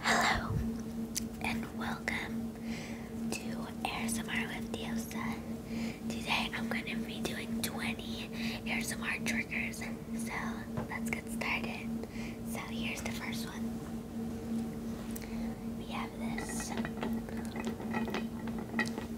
Hello and welcome to ASMR with Diosa. Today I'm going to be doing 20 ASMR triggers. So let's get started. So here's the first one. We have this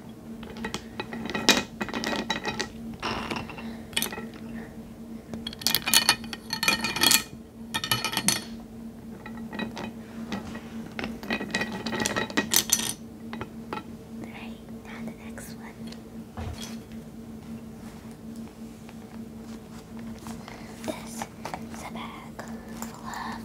Right, now the next one. This is a bag full of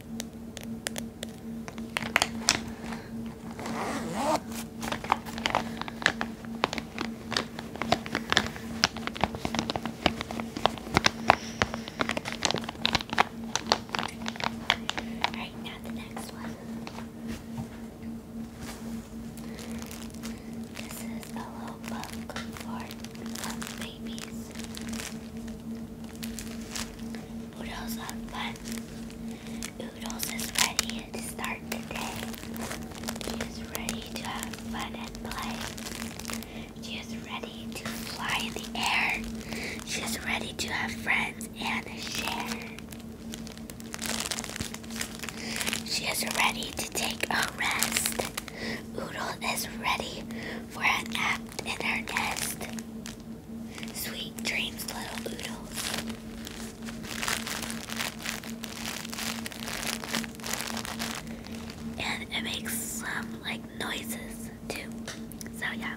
Alright, now the next one. This is a little book for uh, babies. Oodles on fun. Oodles is ready to start the day. She is ready to have fun and play. She is ready to fly in the air. She is ready to have friends and share. She is ready to take a rest. Oodle is ready for an act in our nest. Sweet dreams, little oodles, And it makes some like noises too. So yeah.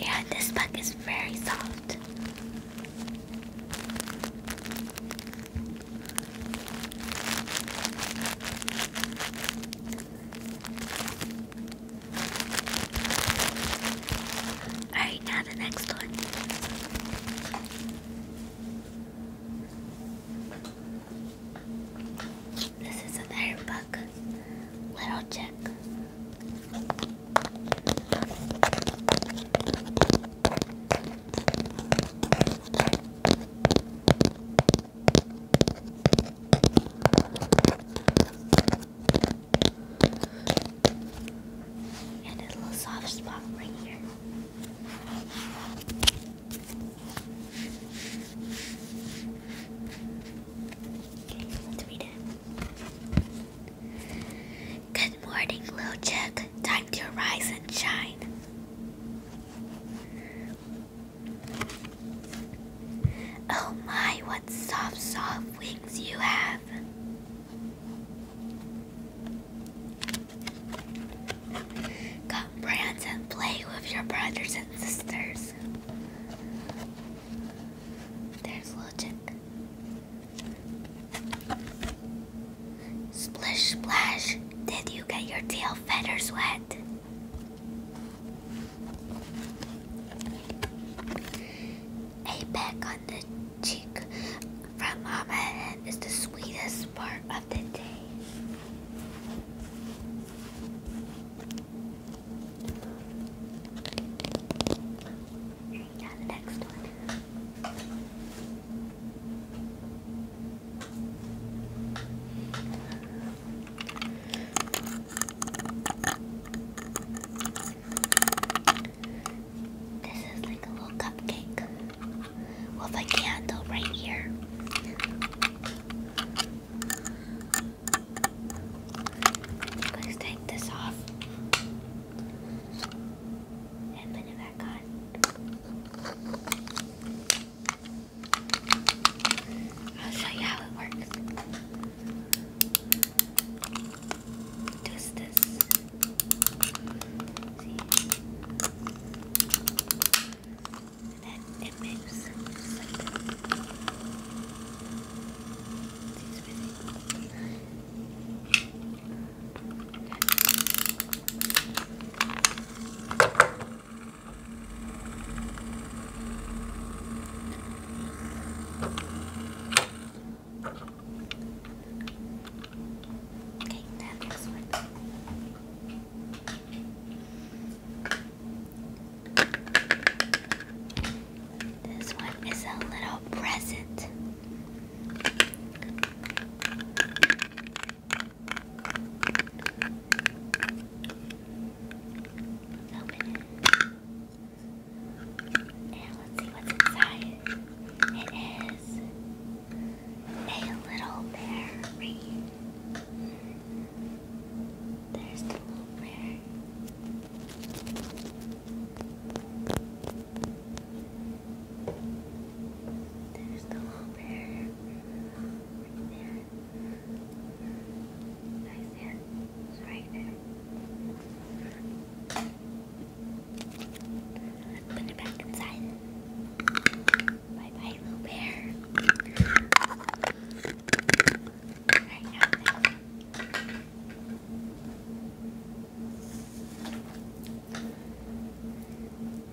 Yeah, this bug is very soft. Alright, now the next one. This is another bug. Little chick, And a little soft spot right here. Good morning, little chick. Time to rise and shine. Oh my, what soft, soft wings you have. Come prance and play with your brothers and sisters. There's logic. Splish splash, did you get your tail feathers wet? A peck on the cheek from Mama is the sweetest part of the day. Yeah, the next one. This is like a little cupcake with a candle right here. Let's take this off I'll show you how it works. Just this and it makes sleep. She's busy. Okay, that looks like this one is a little present. open it. And let's see what's inside. It is a little berry. There's the little bear. There's the little bear. Right there. Right there. Put it back inside. Bye bye, little bear. Alright, now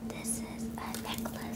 this is a necklace.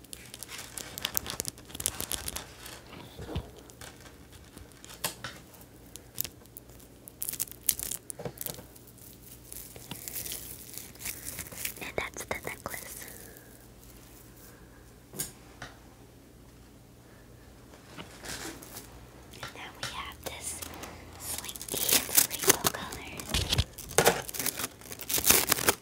And that's the necklace. And then we have this slinky in rainbow colors.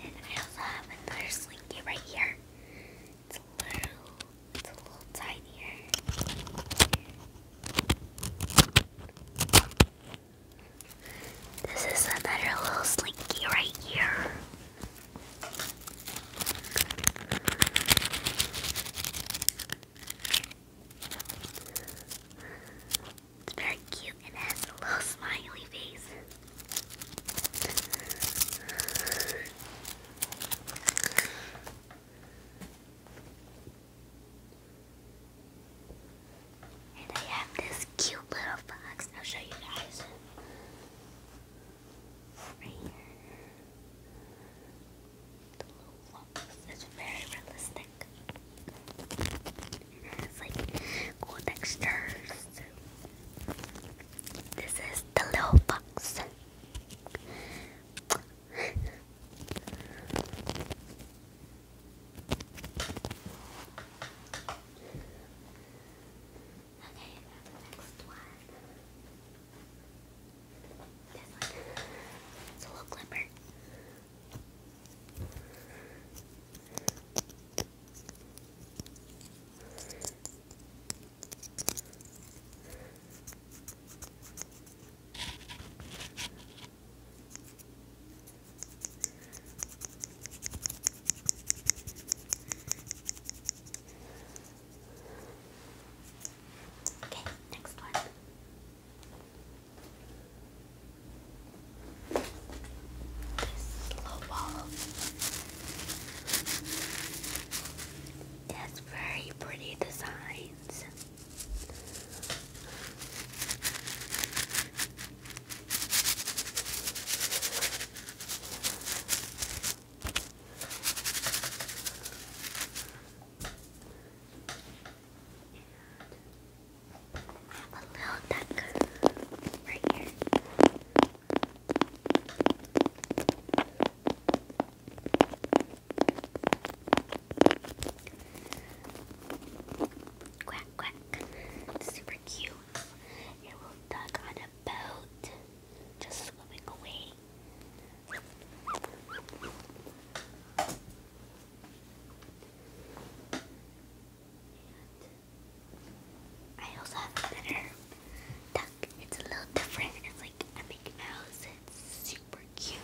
And I also have another slinky right here. It's a little, it's a little tinier. This is another little slinky right here. It's very cute and has a little smiley face. And I have this cute little box. I'll show you guys. Right here. It's very realistic. It has like cool textures. This is the little box. Okay, next one. This one. It's a little clipper. Okay, next one. This slow very pretty designs. I have a little duck right here. Quack quack. super cute. It duck on a boat. Just swimming away. And I also have a duck. It's a little different. It's like a Mickey Mouse. It's super cute.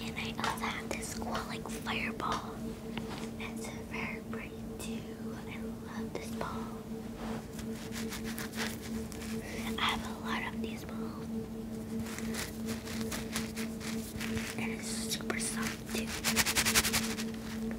And I also have this cool like fireball. It's so very bright too. I love this ball. I have a lot of these balls. And it's super soft too.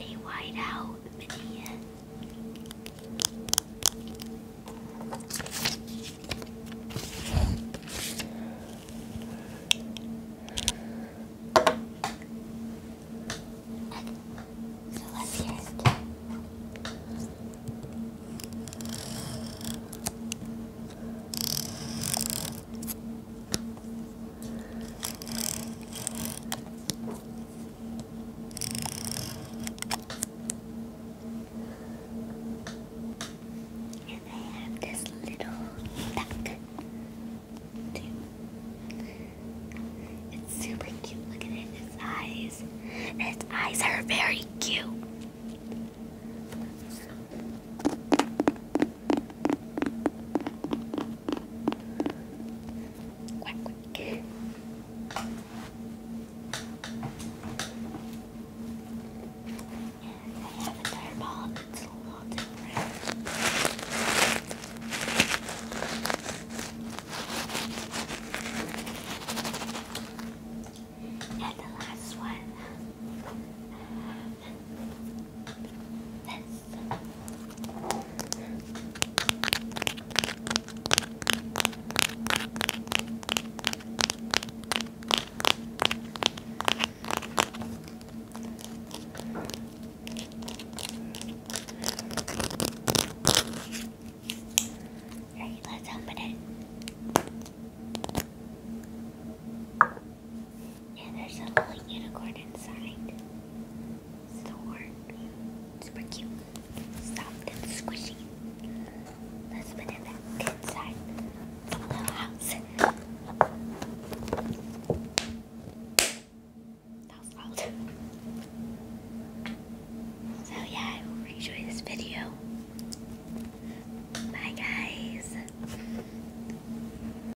a whiteout minion. So let's hear and I have this little duck It's super cute. Look at it, its eyes. Its eyes are very cute. Quack, quack. I have a fireball that's a little different. And the last one Alright, let's open it. Yeah, there's a little unicorn inside. It's the horn. Super cute. Soft and squishy. Let's put it back inside the little house. That was loud. So yeah, I hope you enjoyed this video. Bye guys.